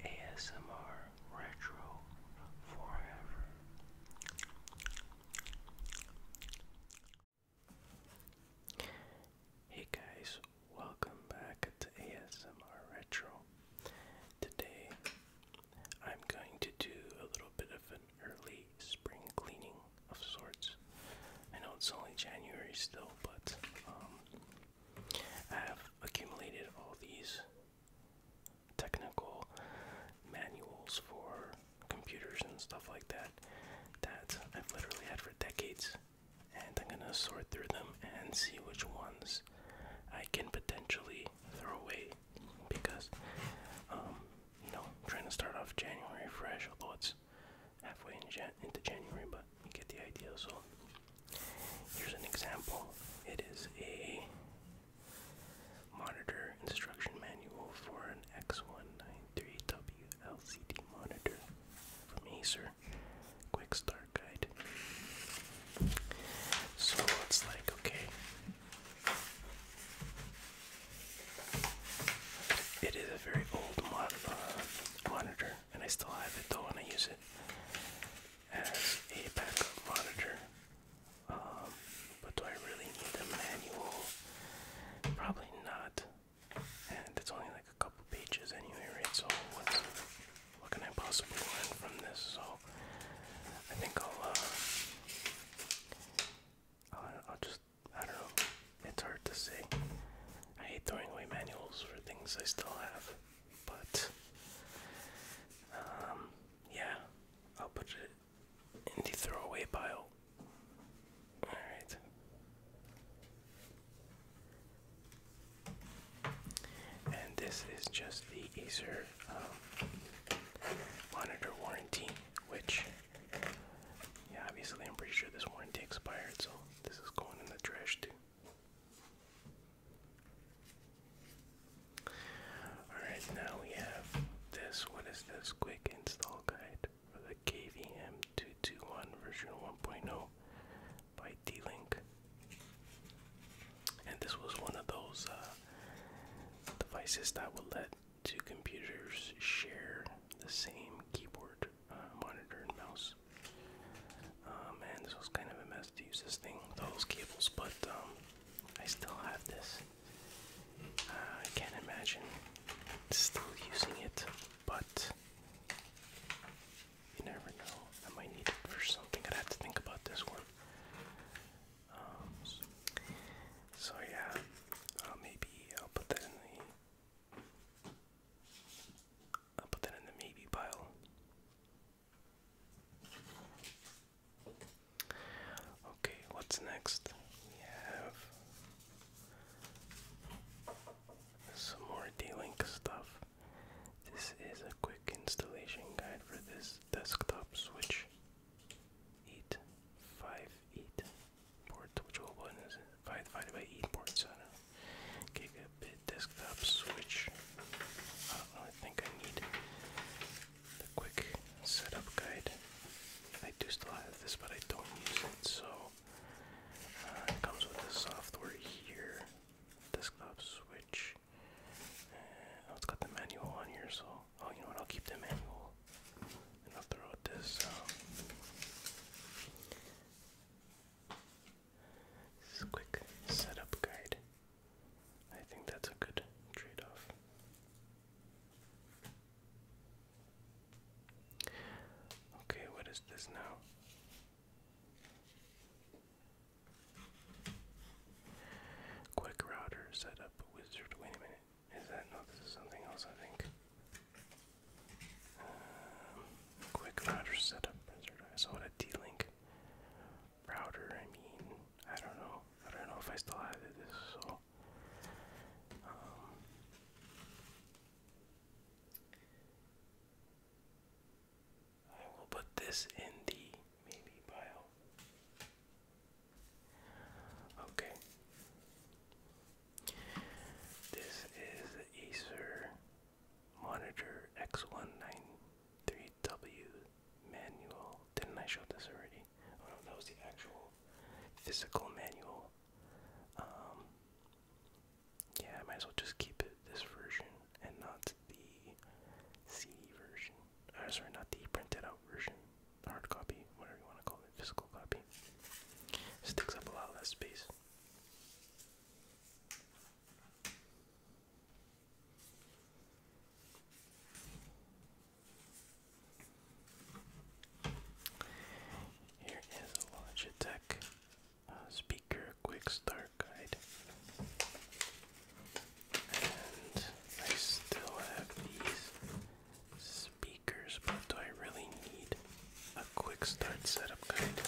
ASMR Retro Forever. Hey guys, welcome back to ASMR Retro. Today I'm going to do a little bit of an early spring cleaning of sorts. I know it's only January still, but um, I have accumulated all these technical manuals for computers and stuff like that that I've literally had for decades, and I'm gonna sort through them and see which ones I can potentially throw away because, um, you know, I'm trying to start off January fresh, although it's halfway into January, but you get the idea. So here's an example. It is a monitor instruction manual for an X193W LCD monitor from Acer. Quick start guide. So it's like okay. It is a very old mon uh, monitor and I still have it though, and I use it as a backup monitor. Um, but do I really need a manual? Probably not. And it's only like a couple pages anyway, So what can I possibly learn from this? So I think uh, I'll, I'll just, I don't know. It's hard to say. I hate throwing away manuals for things I still have. But um, yeah, I'll put it in the throwaway pile. Alright. And this is just the Acer um, monitor warranty, which, obviously I'm pretty sure this warranty expired, so this is going in the trash too. Alright, now we have this. What is this? Quick install guide for the KVM221 version 1.0 by D Link. And this was one of those uh, devices that would let two computers share the same keyboard, uh, monitor, and mouse. Oh, man, this was kind of a mess to use this thing with those cables, but um, I still have this. Uh, I can't imagine still using it, but you never know. I might need it for something. I'd have to think about this one. Um, so yeah, uh, maybe I'll put that in the. I'll put that in the maybe pile. Okay, what's next? We have some more D-Link stuff. This is a quick installation guide for this desktop switch. 858 port, which open is it? 5 divided by e ports. I do Gigabit desktop switch. I think I need the quick setup guide. I do still have this, but I don't use it. So uh, it comes with the software here. Desktop switch. Uh, oh, it's got the manual on here, so oh, you know what? I'll keep the manual. And I'll throw this um, this is quick setup guide. I think that's a good trade off. Okay, what is this now? Quick router setup wizard. Wait a minute. Is that no? This is something else, I think quick router setup. I saw a D-Link router. I mean, I don't know. I don't know if I still have it. So, um, I will put this in the maybe bio. Okay. This is Acer Monitor X193W manual. Didn't I show this already? Oh, no, that was the actual physical manual. Um, yeah, I might as well just keep this version and not the CD version. Uh, sorry, not the printed out version. Hard copy, whatever you want to call it, physical copy. This up a lot less space. Here is a Logitech uh, speaker quick start guide. And I still have these speakers, but do I really need a quick start setup guide?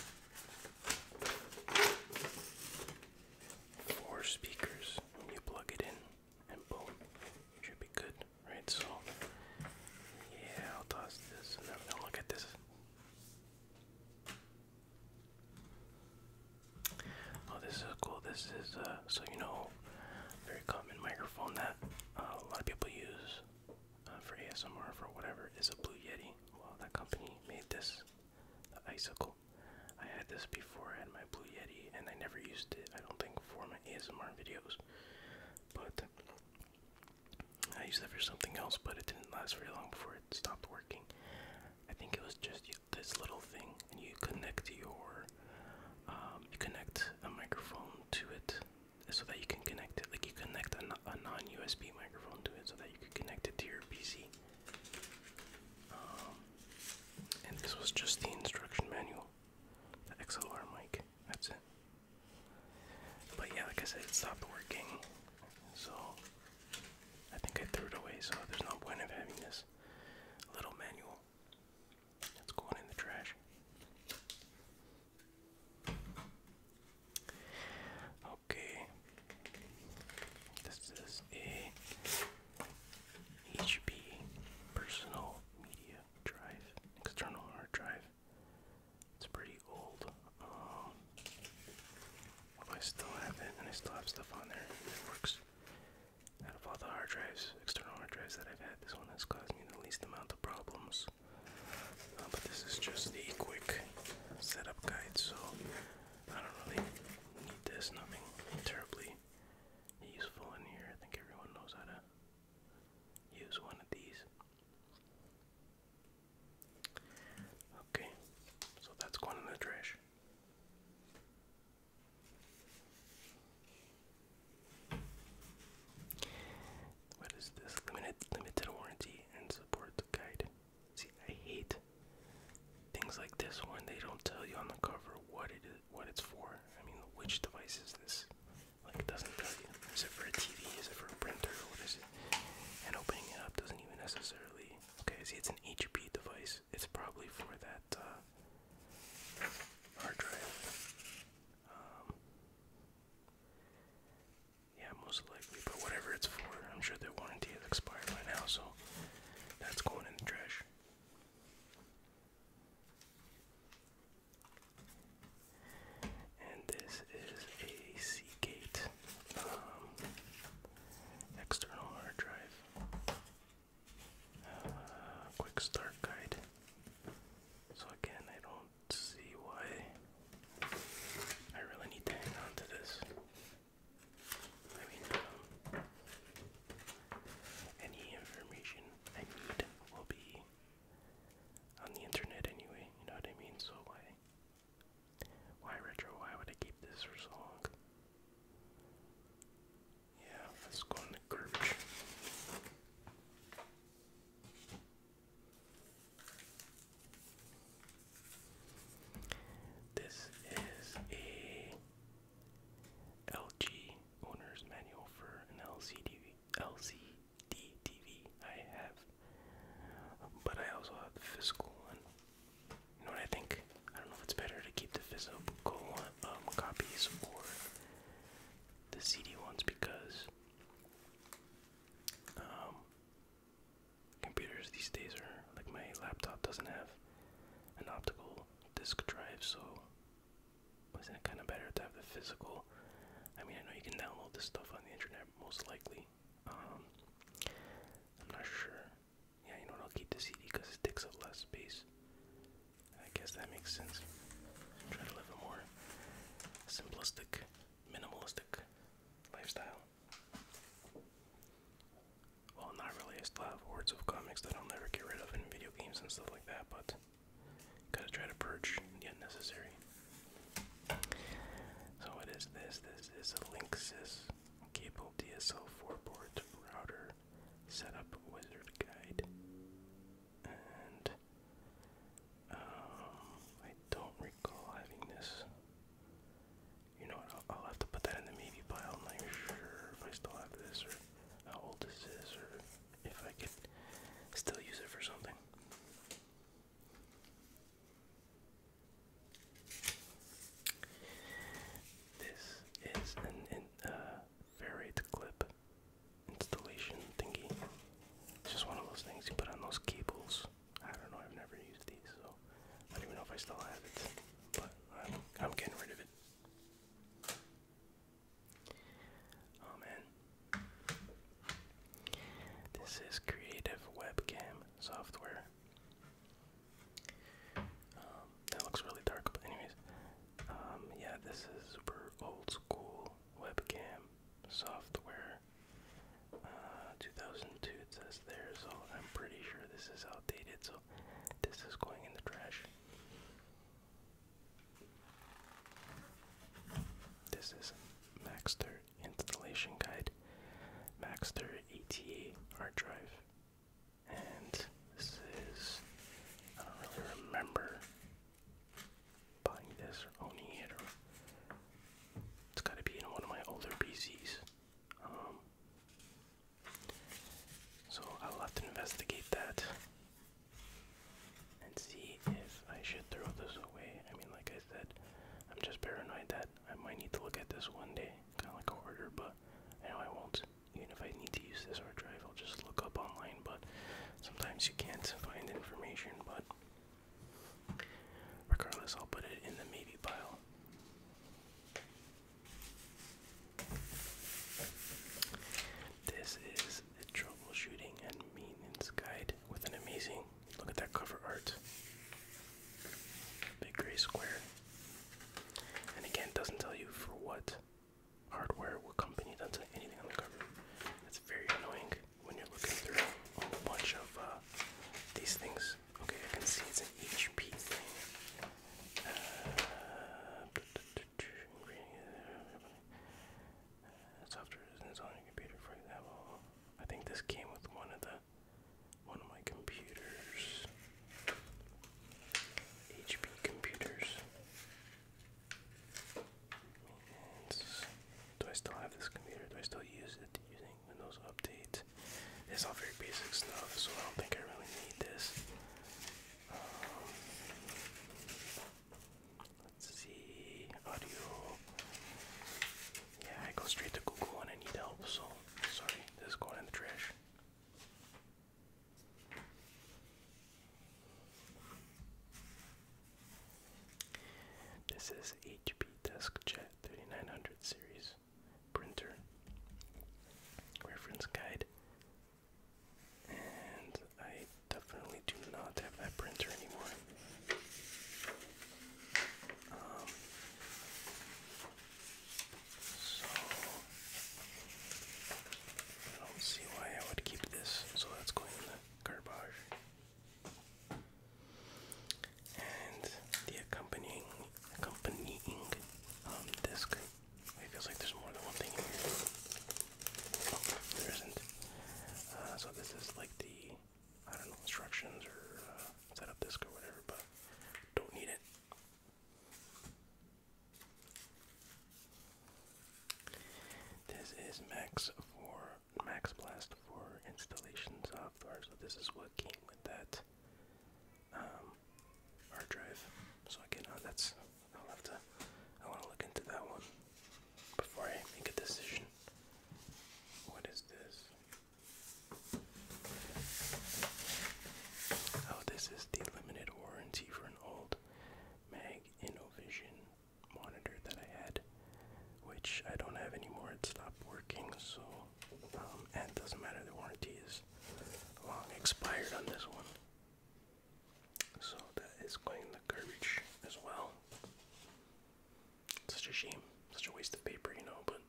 Four speakers you plug it in, and boom, should be good, right? So, yeah, I'll toss this look at this. Oh, this is cool. This is uh, so you know, very common microphone that uh, a lot of people use uh, for ASMR for whatever is a Blue Yeti. Well, that company made this, the icicle. I had this before I had my Blue Yeti, and I never used it. I don't think for my ASMR videos, but I used it for something else. But it didn't last very long before it stopped working. I think it was just this little thing, and you connect your, um, you connect a microphone to it, so that you can connect it. Like you connect a, a non-USB microphone to it so that you can connect it to your PC. Um, and this was just the instruction manual, the XLR mic. That's it. But yeah, like I said, it stopped working, so I think I threw it away. So there's no point of having this little manual. It's going in the trash. Okay. This is a HP personal media drive, external hard drive. It's pretty old. Um, I still have it, and I still have stuff on there. It works. Out of all the hard drives, external hard drives that I've had, this one has caused me the least amount of problems. Uh, but this is just the quick setup guide, so I don't really need this. Nothing terribly useful in here. I think everyone knows how to use one of these. Okay, so that's going in the trash. What is this? Limited limited warranty and support the guide. See, I hate things like this one. they don't tell you on the cover what it is, what it's for. I mean, which device is this? Like, it doesn't tell you. Is it for a TV? Is it for a printer? What is it? And opening it up doesn't even necessarily. Okay, see, it's an HP device. It's probably for that uh, hard drive. Um, yeah, most likely, but whatever it's for, I'm sure their warranty has expired by now, so that's going in the trash. And this is a Seagate um, external hard drive. Uh, quick start guide. So again, I don't don't see why I really need to hang on to this. I mean, um, any information I need will be on the internet anyway, you know what I mean? So why, why retro, why would I keep this for so long? Yeah, let's go in the garbage. This is a LG owner's manual for an LCD LCD TV I have, but I also have the physical one. You know what I think? I don't know if it's better to keep the physical one, um, copies or the CD ones because um, Computers these days are like my laptop doesn't have an optical disk drive, so isn't it kind of better to have the physical? I mean, I know you can download this stuff on the internet, most likely. Um, I'm not sure. Yeah, you know what? I'll keep the CD because it takes up less space. I guess that makes sense. Try to live a more simplistic minimalistic lifestyle. Well, not really. I have hordes of comics that I'll never get rid of in video games and stuff like that, but gotta try to purge the unnecessary. So, what is this? This is a Linksys cable DSL 4 port router setup wizard guide. And um, I don't recall having this. You know I'll, have to put that in the maybe pile. i sure if I still have this or how old this is or if I could still use it for something. This is an, an uh, varied clip installation thingy. It's just one of those things you put on those cables. I don't know, I've never used these, so I don't even know if I still have it. But I'm, I'm getting rid of it. Oh man. This is Creative Webcam software. Um, that looks really dark, but anyways. Um, yeah, this is super old school webcam software. Uh, 2002 it says there, so I'm pretty sure this is outdated, so this is going in the trash. This is Maxter installation guide, Maxter ETA hard drive, and this is I don't really remember buying this or owning it it's got to be in one of my older PCs. Um, so I'll have to investigate that and see if I should throw this away. I mean, like I said, I'm just paranoid that I might need to look at this one day, kind of like a hoarder, but I I won't. Even if I need to use this hard drive, I'll just look up online, but sometimes you can't find information, but Regardless, I'll put it in the maybe pile. This is the troubleshooting and maintenance guide with an amazing look at that cover art. Big gray square. And again, doesn't tell you for what hardware, what company, doesn't tell anything on the cover. That's very annoying when you're looking through a bunch of uh, these things. Okay, I can see it's an HP thing. Uh, software is on your computer, for example. I think this came with one of the one of my computers. HP computers. Do I still have this computer? Do I still use it using Windows updates, It's all very basic stuff, so I don't think I really need this. Um, let's see, audio. Yeah, I go straight to Google when I need help, so sorry, this is going in the trash. This is HP DeskJet 3900 series printer. Reference guide. And I definitely do not have that printer anymore. Um, so I don't see why I would keep this, so that's going in the garbage and the accompanying accompanying um, disc. It feels like there's more than one thing here. Oh, there isn't. Uh, so this is like the I don't know instructions or uh, setup disc or whatever, but don't need it. This is Max for Max Blast for installation software, so this is what came with that um, hard drive. So again, uh, that's I'll have to I want to look into that one before I make a decision. What is this? Oh, this is the limited warranty for an old Mag InnoVision monitor that I had, which I don't have anymore. It stopped working, so um, and it doesn't matter. The warranty is long expired on this one, so that is going in the garbage as well. Such a shame, such a waste of paper, you know, but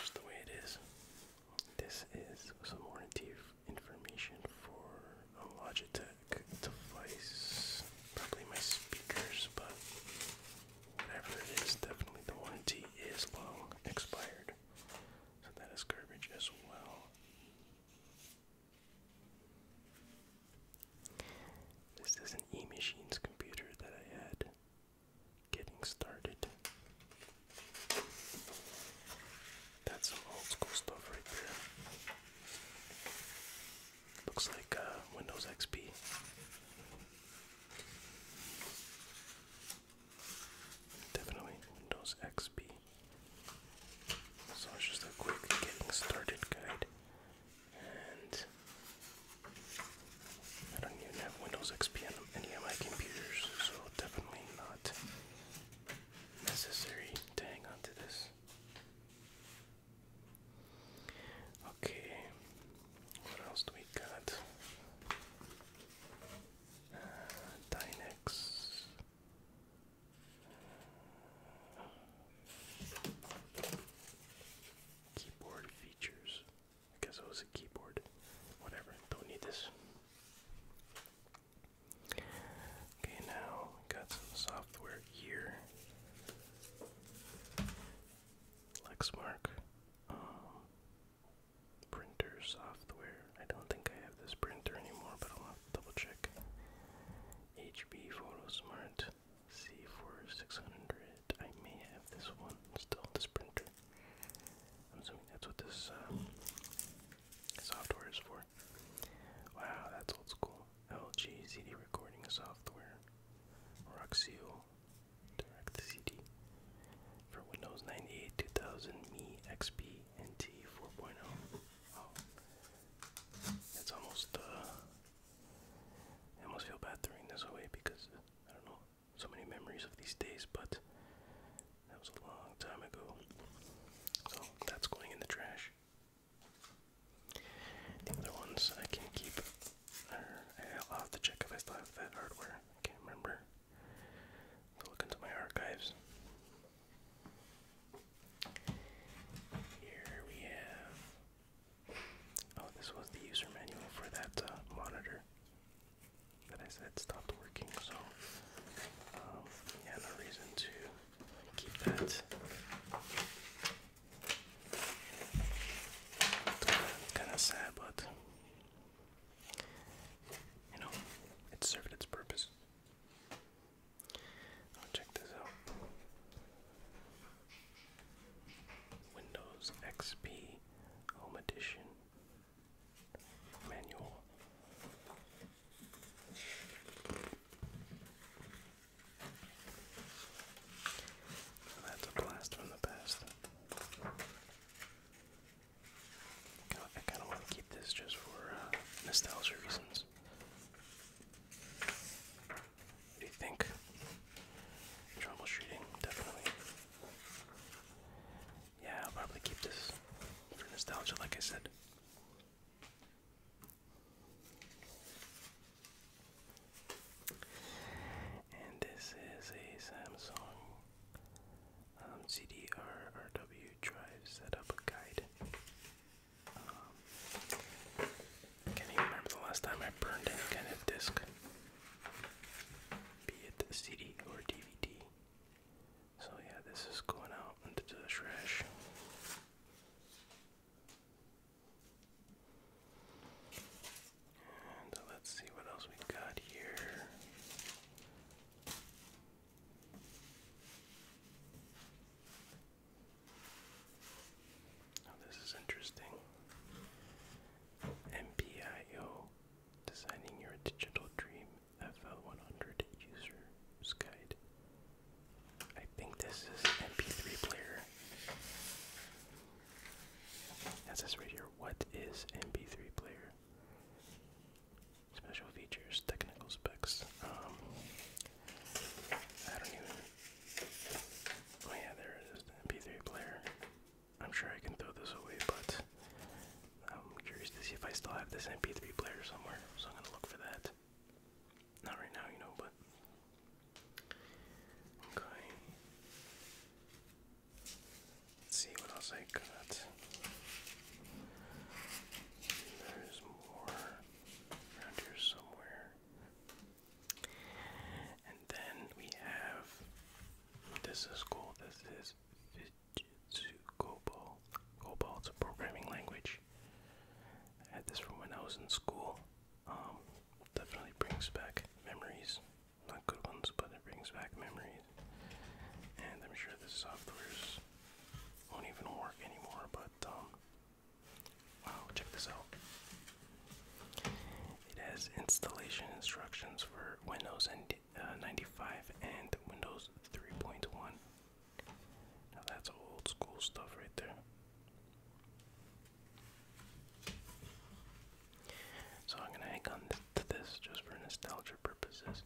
just the way it is. This is some warranty information for a Logitech device. Probably my speakers, but whatever it is, definitely the warranty is long expired. So that is garbage as well. This is an e-machines computer that I had getting started. That's some old school stuff right there. Looks like uh, Windows XP. Definitely Windows XP. So it's just a quick getting started guide. And I don't even have Windows XP on any of my computers, so definitely not necessary to hang on to this. Okay, what else do we got? Uh, Dynex. keyboard features. I guess it was a keyboard. Whatever, don't need this. Okay, now got some software here. Lexmark um, printer software. I don't think I have this printer anymore, but I'll double check. HP PhotoSmart C4600. I may have this one still, this printer. I'm assuming that's what this um, software is for. Wow, that's old school. LG CD recording software. Roxio Direct CD. For Windows 98, 2000, Me XP, and T 4.0. Oh, it's almost, uh, I almost feel bad throwing this away because, I don't know, so many memories of these days, but that was a long time ago. So that's going in the trash. The other ones I can keep. i have to check if I still have that hardware. can't remember. I'll look into my archives. Here we have. Oh, this was the user manual for that uh, monitor that I said stopped working, so um, yeah, no reason to keep that. Kind of sad, but you know, it served its purpose. Oh, check this out. Windows XP Home Edition manual. That's a blast from the past. I kind of want to keep this just for uh, nostalgia reasons. do you think? Troubleshooting, definitely. Yeah, I'll probably keep this for nostalgia, like I said. And this is a Samsung um, cd CDR RW drive setup guide. Um, can't even remember the last time I burned any kind of disc, be it CD or DVD. So yeah, this is going out into the trash. And uh, let's see what else we got here. Oh, this is interesting. MPIO, designing your digital dream FL100 user's guide. I think this is MP3 player. It says right here, what is MP3 player? Special features, technical specs. Um, Oh yeah, there it is, MP3 player. I'm sure I can throw this away, but I'm curious to see if I still have this MP3 player somewhere, so I'm gonna look for that. Not right now, you know, but. Okay. Let's see what else I got. There's more around here somewhere. And then we have. This is cool. This is Jitsu COBOL. COBOL's a programming language. I had this from when I was in school. Um, definitely brings back memories. Not good ones, but it brings back memories. And I'm sure this software's won't even work anymore, but um, wow, check this out. It has installation instructions for Windows and uh, 95 and Windows 3.1. Now that's old school stuff right there. So I'm gonna hang on to this just for nostalgia purposes.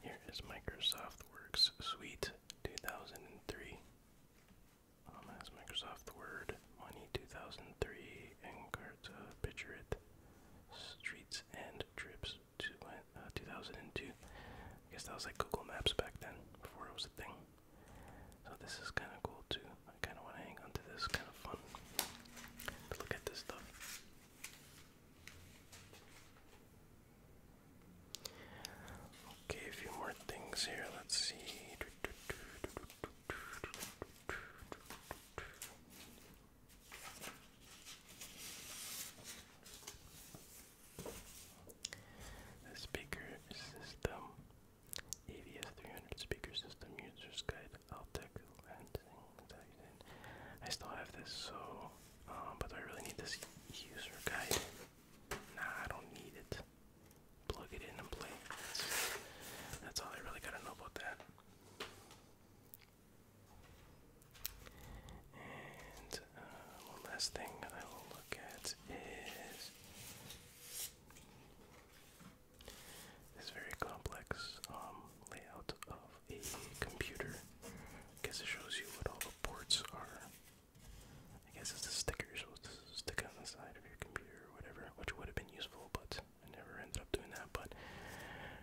Here is Microsoft Works Suite 2003. Um, has Microsoft Word, Money Encarta, uh, Picture It, Streets and Trips to, uh, 2002. I guess that was like Google Maps back then, before it was a thing. So this is kind of cool too. I kind of want to hang on this, kind of fun look at this stuff. Okay, a few more things here. Let's see. speaker system ADS 300 speaker system user's guide. I'll I still have this, so um, but do I really need this user guide? Nah, I don't need it. Plug it in and play. That's, all I really gotta know about that. And uh, one last thing I will look at is this very complex um, layout of a computer. guess it shows you what all ports are. I guess it's a sticker you're supposed to stick on the side of your computer or whatever, which would have been useful, but I never ended up doing that. But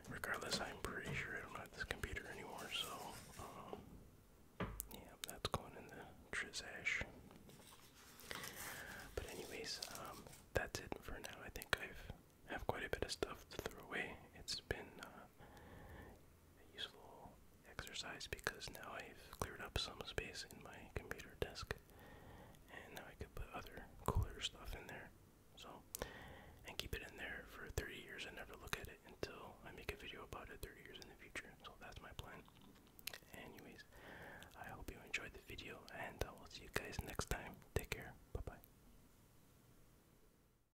regardless, I'm pretty sure I don't have this computer anymore, so um, yeah, that's going in the trash. But anyways, um, that's it for now. I think I've have quite a bit of stuff to throw away. It's been uh, useful exercise because now I've cleared up some space in my computer desk and now I can put other cooler stuff in there. So, and keep it in there for 30 years and never look at it until I make a video about it 30 years in the future. So that's my plan. Anyways, I hope you enjoyed the video and I will see you guys next time. Take care. Bye bye.